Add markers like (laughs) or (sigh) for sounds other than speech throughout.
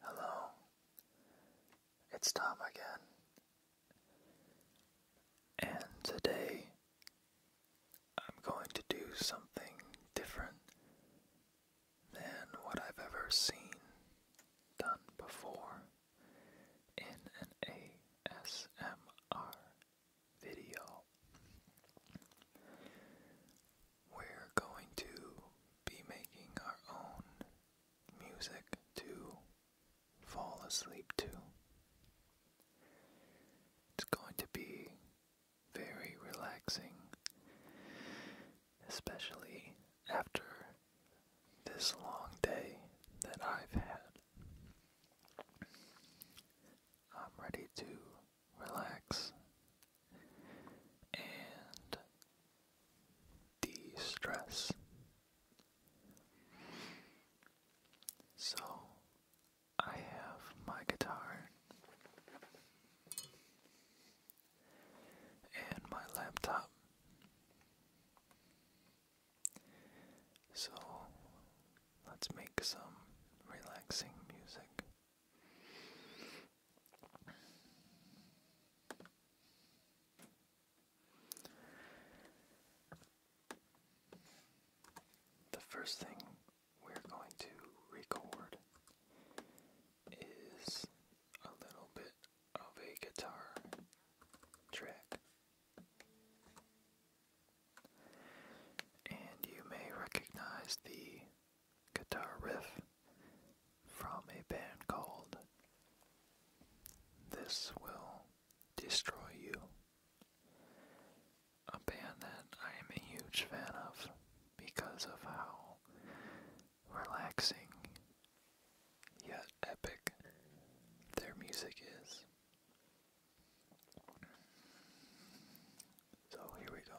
Hello, it's Tom again, and today I'm going to do something different than what I've ever seen done before in an ASMR video we're going to be making our own music to fall asleep to. It's going to be very relaxing, especially after this long day that I've had. I'm ready to relax, and de stress. So, I have my guitar and my laptop. So, let's make some relaxing music. The first thing we're going to record is a little bit of a guitar track. And you may recognize the guitar riff from a band called This Will Destroy You, a band that I am a huge fan of because of how relaxing yet epic their music is. So here we go.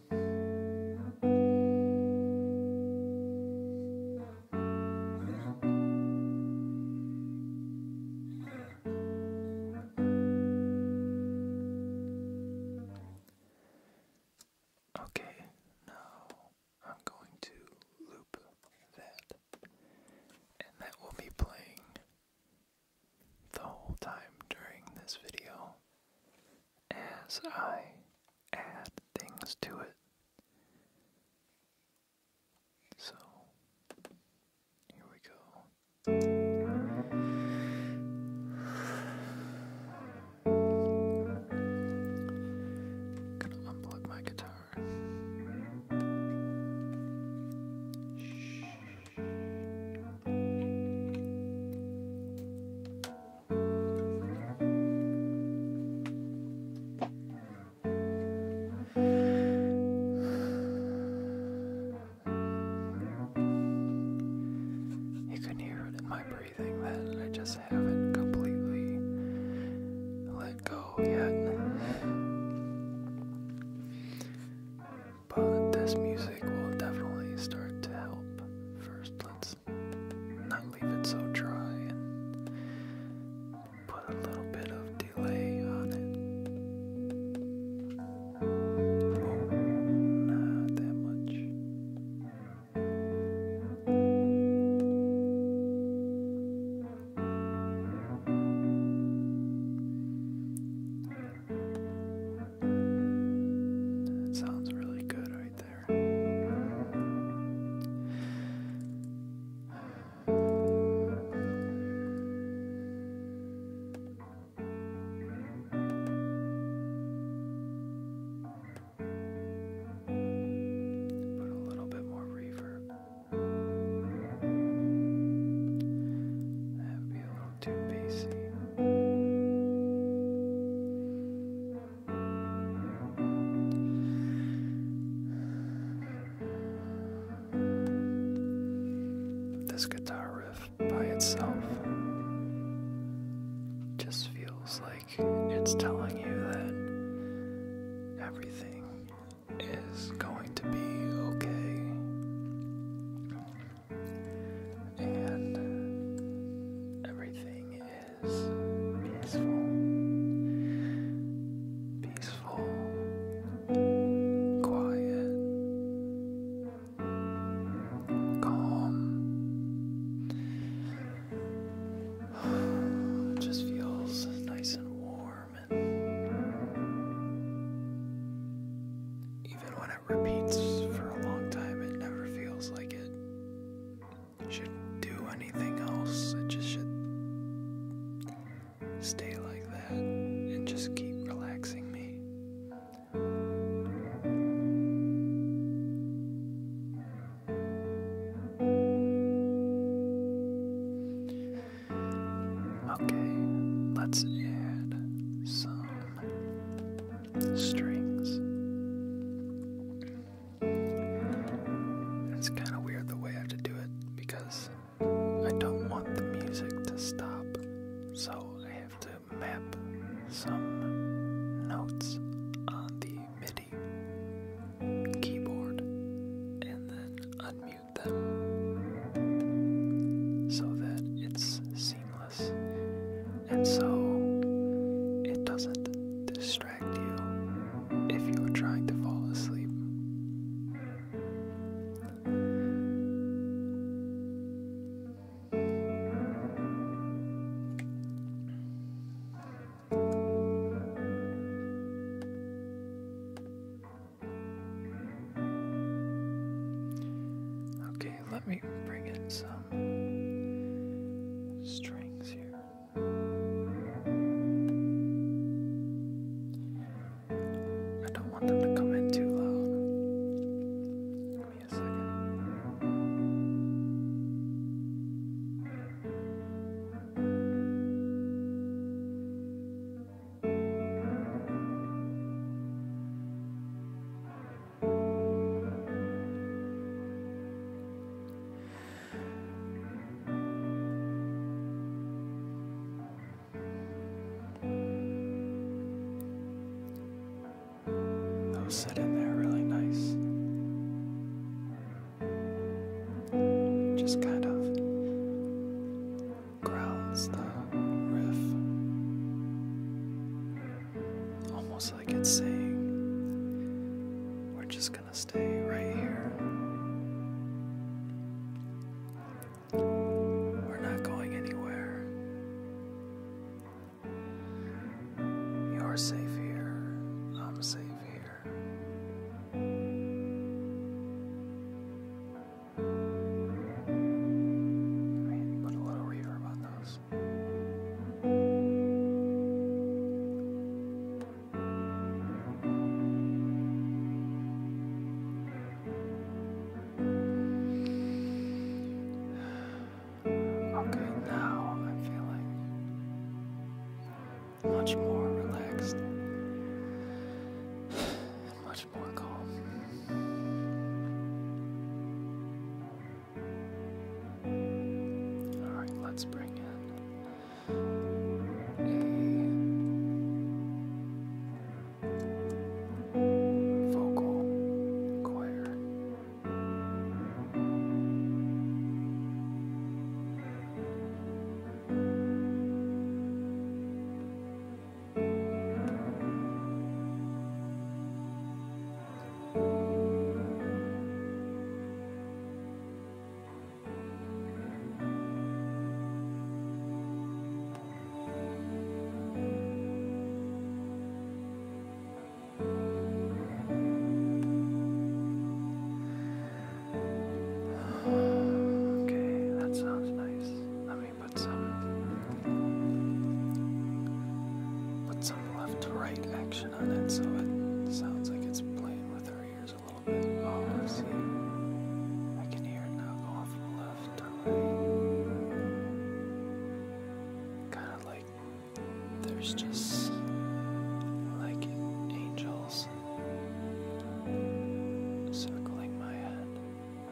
Okay, now I'm going to loop that, and that will be playing the whole time during this video as I add things to it. So, here we go. gonna unplug my guitar. Shh. You can hear it in my breathing that I just haven't completely let go yet but this music will definitely start to help. First, let's not leave it so dry and put a little bit of delay on it. not that much. That sounds really good right there. Put a little bit more reverb. That'd be a to BC. This guitar riff by itself just feels like it's telling you that everything is going to be okay and everything is peaceful, peaceful, quiet, calm. It (sighs) just feels nice and warm, and even when repeats for a long time. It never feels like it should do anything else. It just should stay like that and just keep relaxing me. Okay, let's add some strings. It's kind of weird the way I have to do it because I don't want the music to stop, so I have to map some notes on the MIDI keyboard and then unmute them so that it's seamless. And so it doesn't distract you if you're trying to fall asleep let me bring in some strings here. I don't want them to come in too loud. Give me a second they sit in there really nice. Just kind of grounds the riff. Almost like it's saying, we're just gonna stay right here. We're not going anywhere. You're safe here. I'm safe here. Put a little reverb on those. Okay, now I'm feeling much more relaxed much more calm. Alright, let's bring in a vocal choir. Okay, that sounds nice. Let me me put some put some left to right action on it so it sounds like it's playing with our ears a little bit. Oh, see, I can hear it now going from left to right. Kind of like there's just like angels circling my head.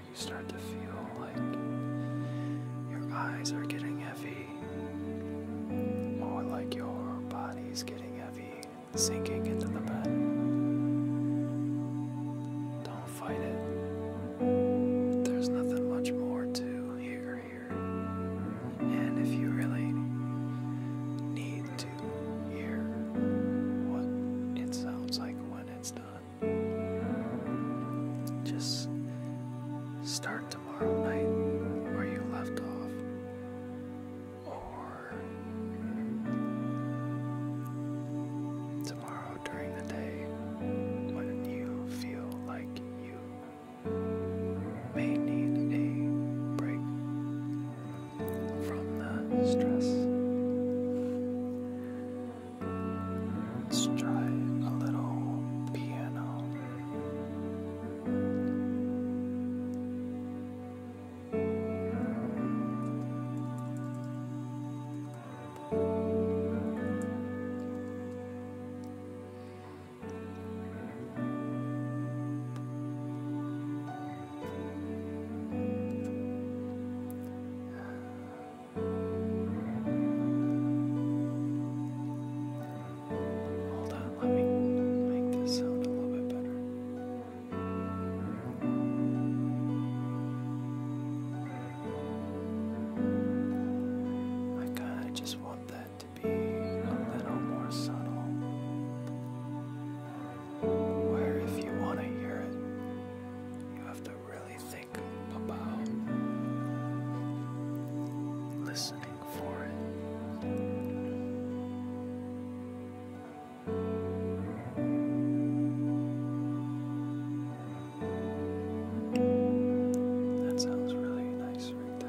you start to feel like your eyes are getting heavy, More like your body's getting heavy, sinking into the bed. Don't fight it. There's nothing much more to hear here. And if you really need to hear what it sounds like when it's done, just start tomorrow night where you left off, or tomorrow during the day when you feel like you may need a break from the stress. Let's try a little piano. Hold on, let me make this sound a little bit better. I kind of just want that to be a little more subtle where if you want to hear it, you have to really think about listening for it. That sounds really nice right there.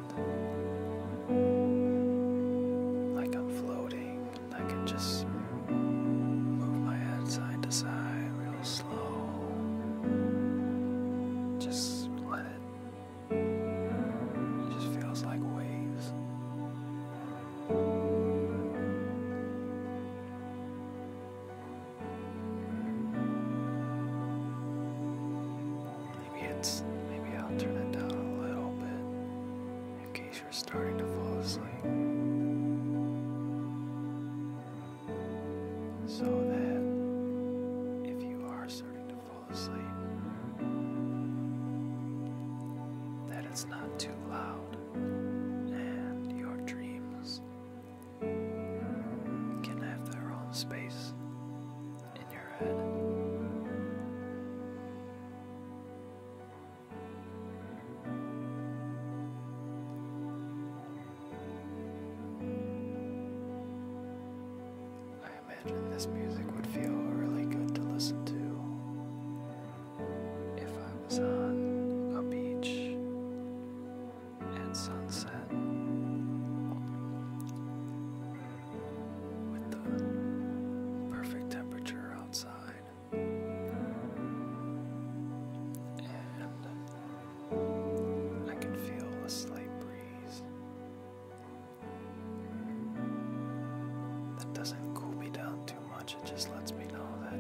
Like I'm floating, I can just move my head side to side real slow. Just let It just feels like waves. Maybe it's maybe I'll turn it down a little bit in case you're starting to fall asleep. So that if you are starting to fall asleep, that it's not too loud and your dreams can have their own space in your head. I imagine this music would feel really good to listen to if I was on a beach at sunset with the perfect temperature outside. And I can feel a slight breeze that doesn't cool me down too much, it just lets me know that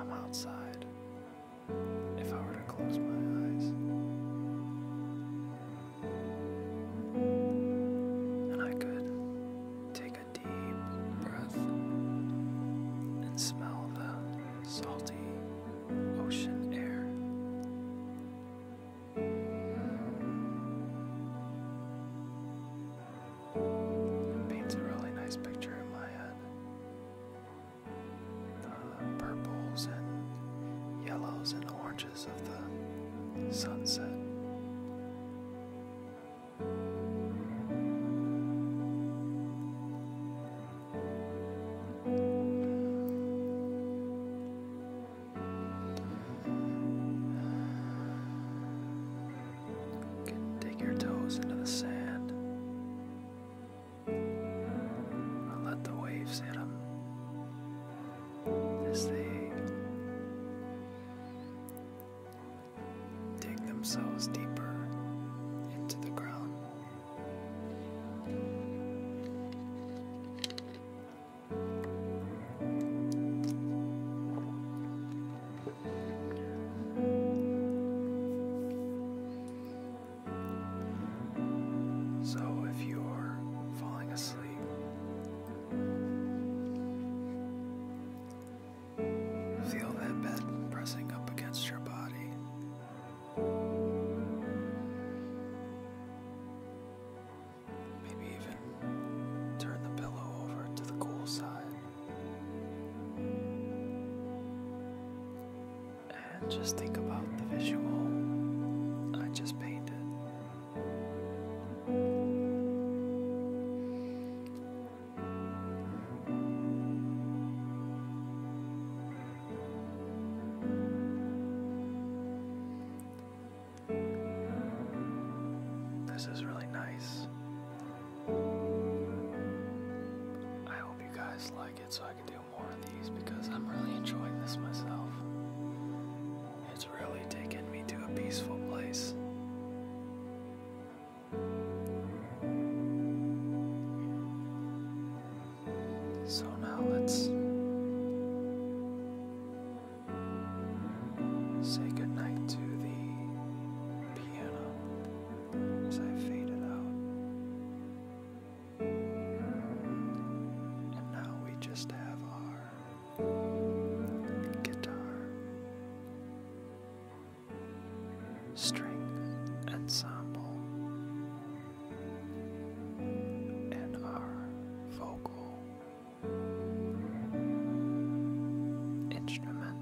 I'm outside. If I were to close my eyes, and I could take a deep breath and smell the salty ocean air. It paints a really nice picture in my head purples and yellows and oranges of the sunset. You can dig your toes into the sand let the waves hit them as they dig themselves deeper into the ground. So if you're falling asleep, feel that bed pressing up against your body. Maybe even turn the pillow over to the cool side and just think about the visual I just painted. This is really nice. I hope you guys like it so I can do more of these because I'm really enjoying this myself. It's really taken me to a peaceful place. So now let's say goodnight to the piano as I fade it out. And now we just have our guitar, string ensemble, and our vocal instrument,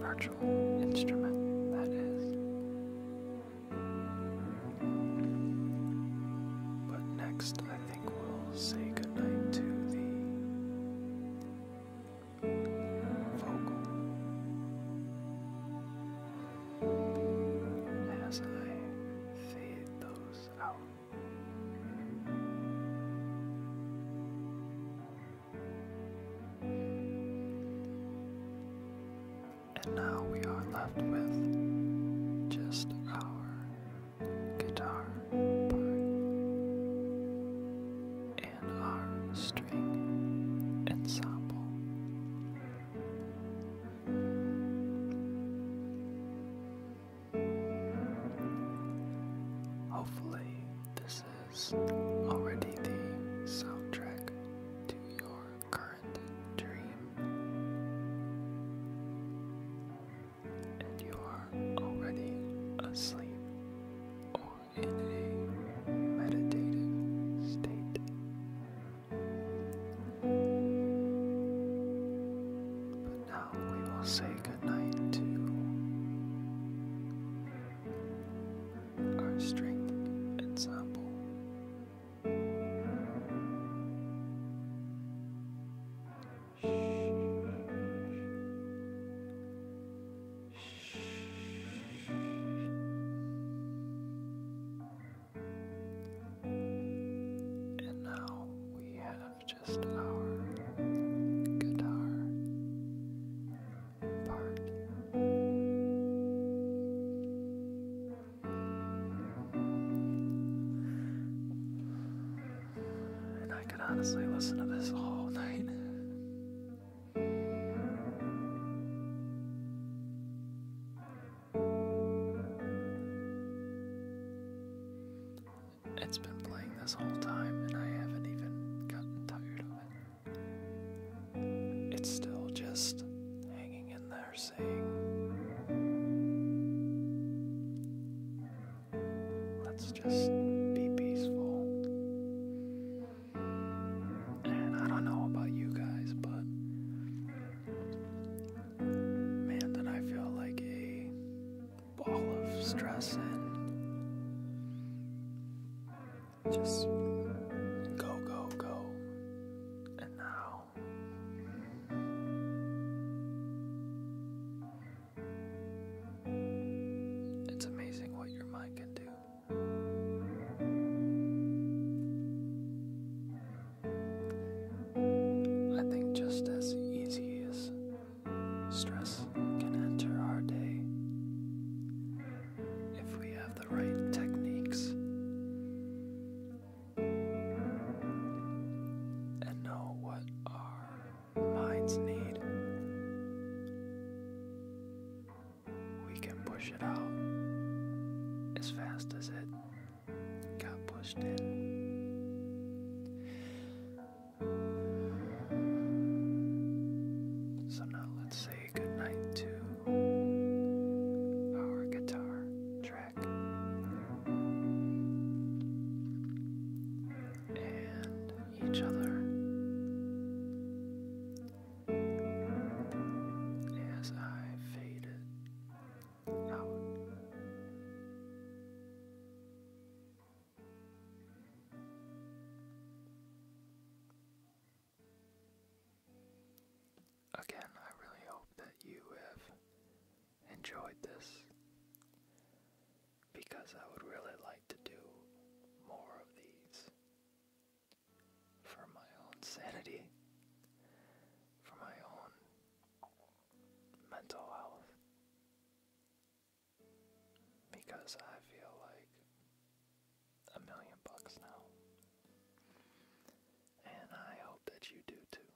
virtual instrument, that is. But next, I think we'll say goodnight to the vocal as I fade those out. And now we are left with just our guitar part and our string ensemble. Hopefully, this is already the soundtrack to your current dream, and you are already asleep or in a meditative state. But now we will say goodnight to our string ensemble. And now we have just our guitar part. And I could honestly listen to this all (laughs) night. It's been playing this whole time, and I haven't even gotten tired of it. It's still just hanging in there saying, let's just be peaceful. And I don't know about you guys, but man, did I feel like a ball of stress and just uh, go, go, go. And now. It's amazing what your mind can do. I think just as easy as stress can enter our day, if we have the right techniques. And know what our minds need. We can push it out as fast as it got pushed in. So now let's see. Good night to our guitar track. And each other as I faded out. Again, I really hope that you have enjoyed this because I would really like to do more of these for my own sanity, for my own mental health, because I feel like a million bucks now. And I hope that you do too.